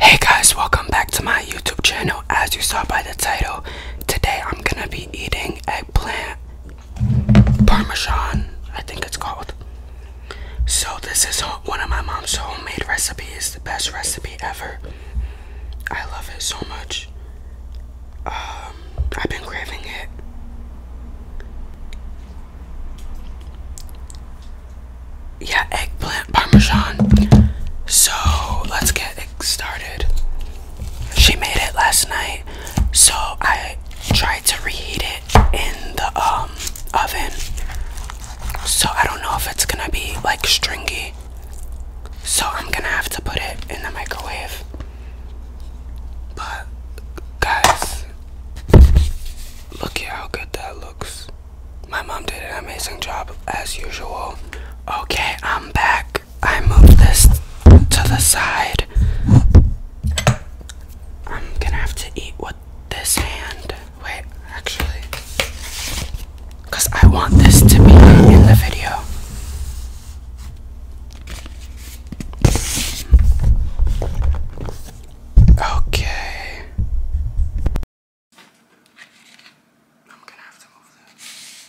Hey guys, welcome back to my YouTube channel. As you saw by the title, today I'm gonna be eating eggplant parmesan, I think it's called. So this is one of my mom's homemade recipes, the best recipe ever. I love it so much. Um, I've been craving it. Yeah, eggplant parmesan. So let's get started. She made it last night, so I tried to reheat it in the um, oven. So I don't know if it's gonna be like stringy. So I'm gonna have to put it in the microwave. But, guys, look at how good that looks. My mom did an amazing job, as usual. Okay, I'm back. I moved this to the side. I'm gonna have to eat with this hand. Wait, actually, because I want this to be in the video. Okay. I'm gonna have to move this.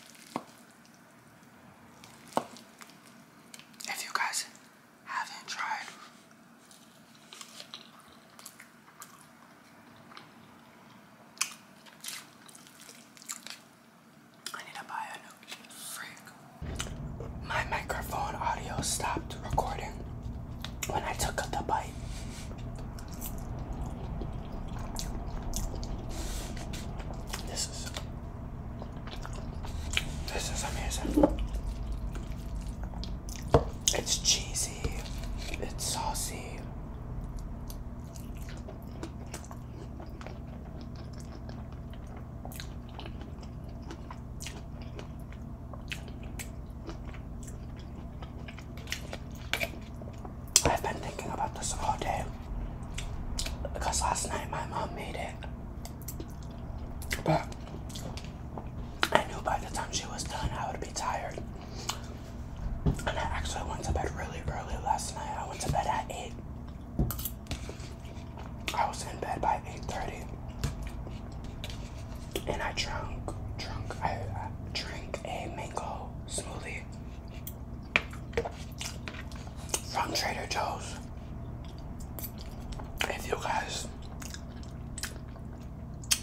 If you guys haven't tried I need to buy a new freak. My microphone audio stopped recording when I took the bite. This is this is amazing. It's cheesy. It's saucy. I've been thinking about this all day because last night my mom made it. But I knew by the time she was done I would be tired. And I actually went to bed really early last night. I went to bed at 8. I was in bed by 8.30. And I drank, drunk, I drank a mango smoothie from Trader Joe's. If you guys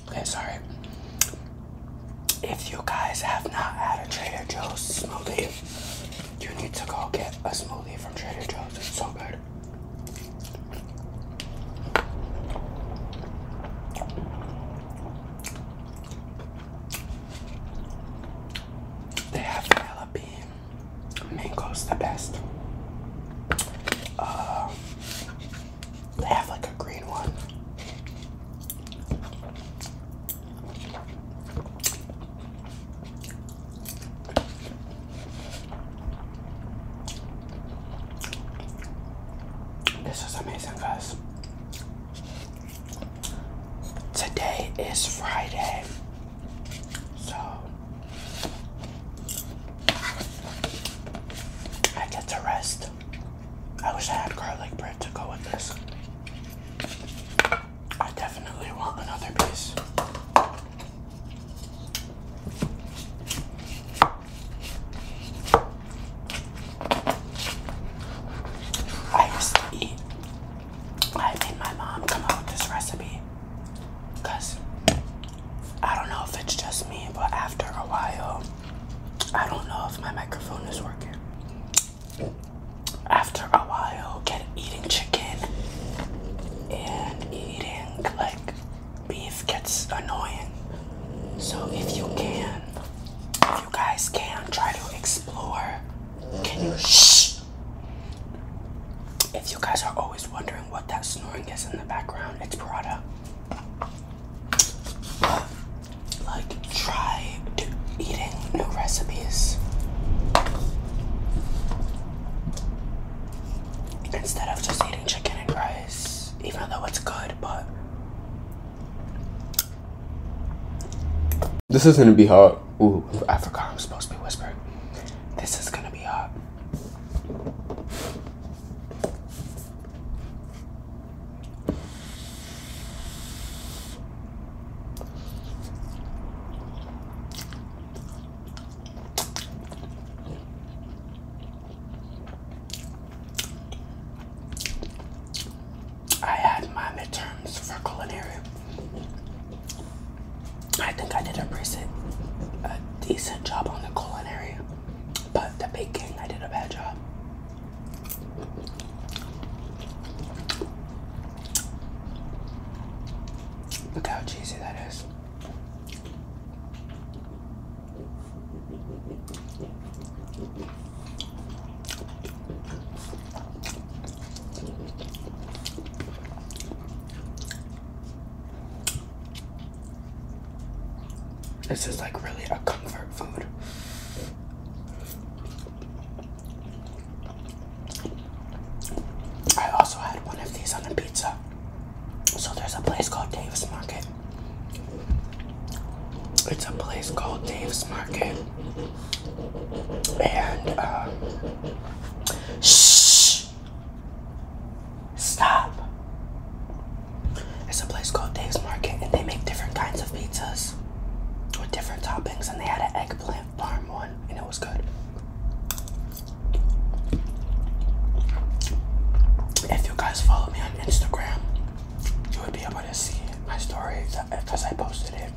Okay, sorry. If you guys have not had a Trader Joe's smoothie, you need to go get a smoothie from Trader Joe's. It's so good. They have vanilla bean. Mango's the best. Uh, I have like a green one. This is amazing, guys. Today is Friday. So I get to rest. I wish I had garlic bread to go with this. I definitely want another piece. I used to eat. I made my mom come up with this recipe because I don't know if it's just me, but after a while, I don't know if my microphone is working. After a while, get eating chicken and eating like beef gets annoying. So if you can, if you guys can, try to explore. Can you shh? If you guys are always wondering what that snoring is in the background, it's Prada but like try eating new recipes instead of just eating chicken and rice, even though it's good, but this is gonna be hot. Ooh, I forgot I'm supposed to be whispering. This is gonna be hot. I had my midterms for culinary I think I did a recent, a decent job on the culinary, but the baking I did a bad job. Look how cheesy that is. This is like really a comfort food. I also had one of these on a pizza. So there's a place called Dave's Market. It's a place called Dave's Market. And, uh, shh, Stop. It's a place called Dave's Market, and they make different kinds of pizzas with different toppings. And they had an eggplant farm one, and it was good. If you guys follow me on Instagram, you would be able to see my story because I posted it.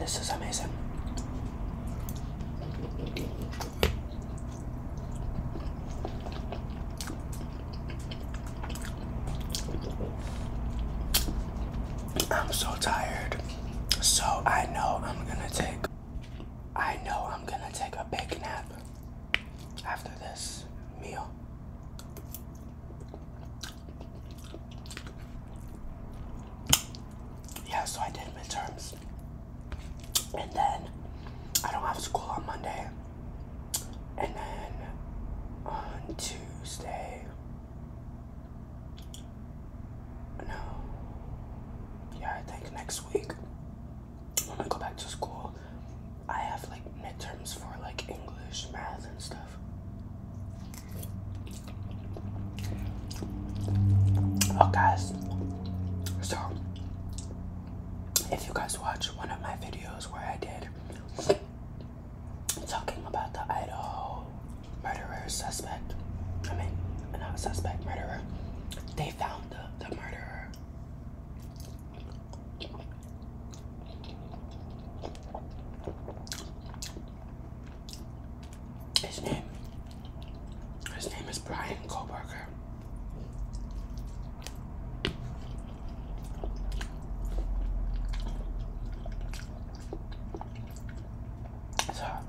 This is amazing. I'm so tired. So I know I'm gonna take I know I'm gonna take a big nap after this meal. Yeah, so I did midterms. And then I don't have school on Monday. And then on Tuesday no. Yeah, I think next week I'm gonna go back to school, I have like midterms for like English, math, and stuff. Oh, guys. So, if you guys watch one of my videos where I did talking about the Idaho murderer suspect. I mean, not suspect, murderer. They found the, murderer. His name, his name is Brian Koberger. So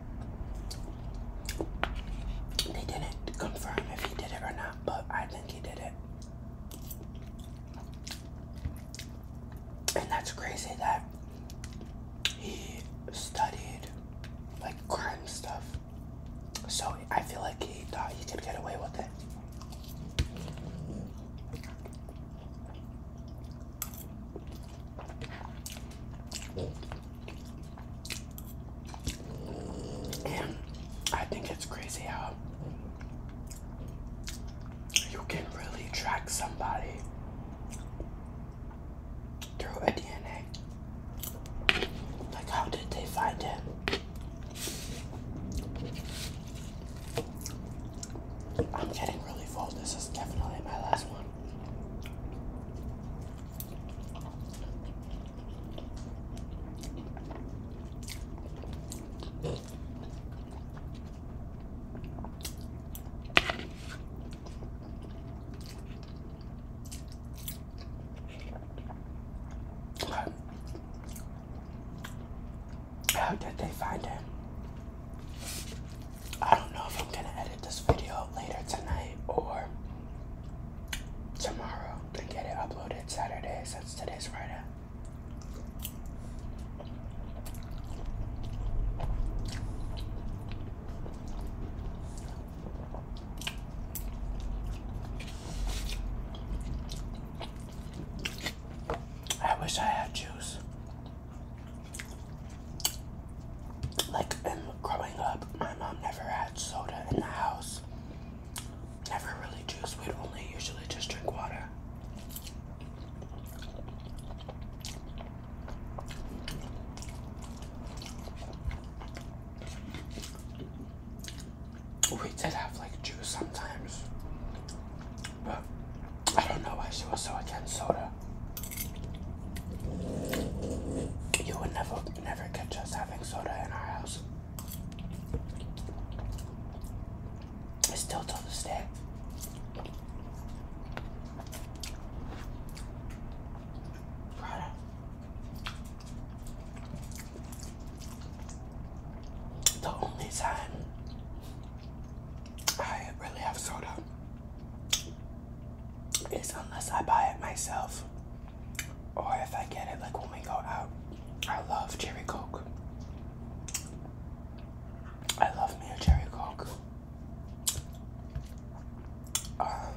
they didn't confirm if he did it or not, but I think he did it. And that's crazy that he studied like crime stuff. So I feel like he thought he could get away with it. And I think it's crazy how you can really track somebody through a DNA. Like, how did they find him? I'm getting really full. This is definitely my last one. How did they find him? I don't know if I'm gonna edit this video later tonight or tomorrow and get it uploaded Saturday since today's Friday. I wish I had juice. Like in growing up, my mom never had soda in the house. Never really juice. We'd only usually just drink water we did have like juice sometimes, but I don't know why she was so against soda. You would never, never catch us having soda in our house. It's still till to day the only time I really have soda is unless I buy it myself or if I get it like when we go out. I love cherry coke. I love me a cherry coke. Um,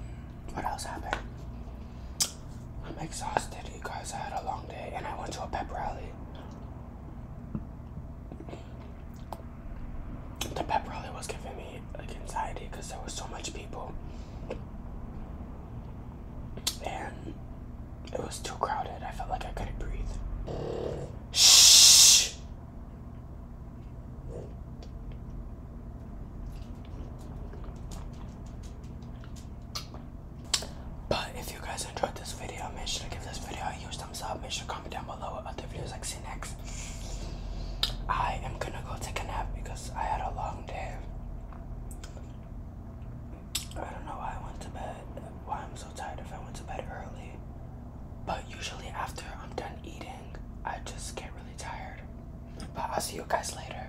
what else happened? I'm exhausted, you guys. I had a long day and I went to a pep rally. The pep rally was giving me like anxiety because there was so much people. And it was too crowded. I felt like I couldn't breathe. Shh. But if you guys enjoyed this video, make sure to give this video a huge thumbs up. Make sure to comment down below what other videos I can see next. I am gonna go take a nap because I had a long day. I don't know why I went to bed, why I'm so tired if I went to bed early. But usually after I'm done eating, I just get really tired. But I'll see you guys later.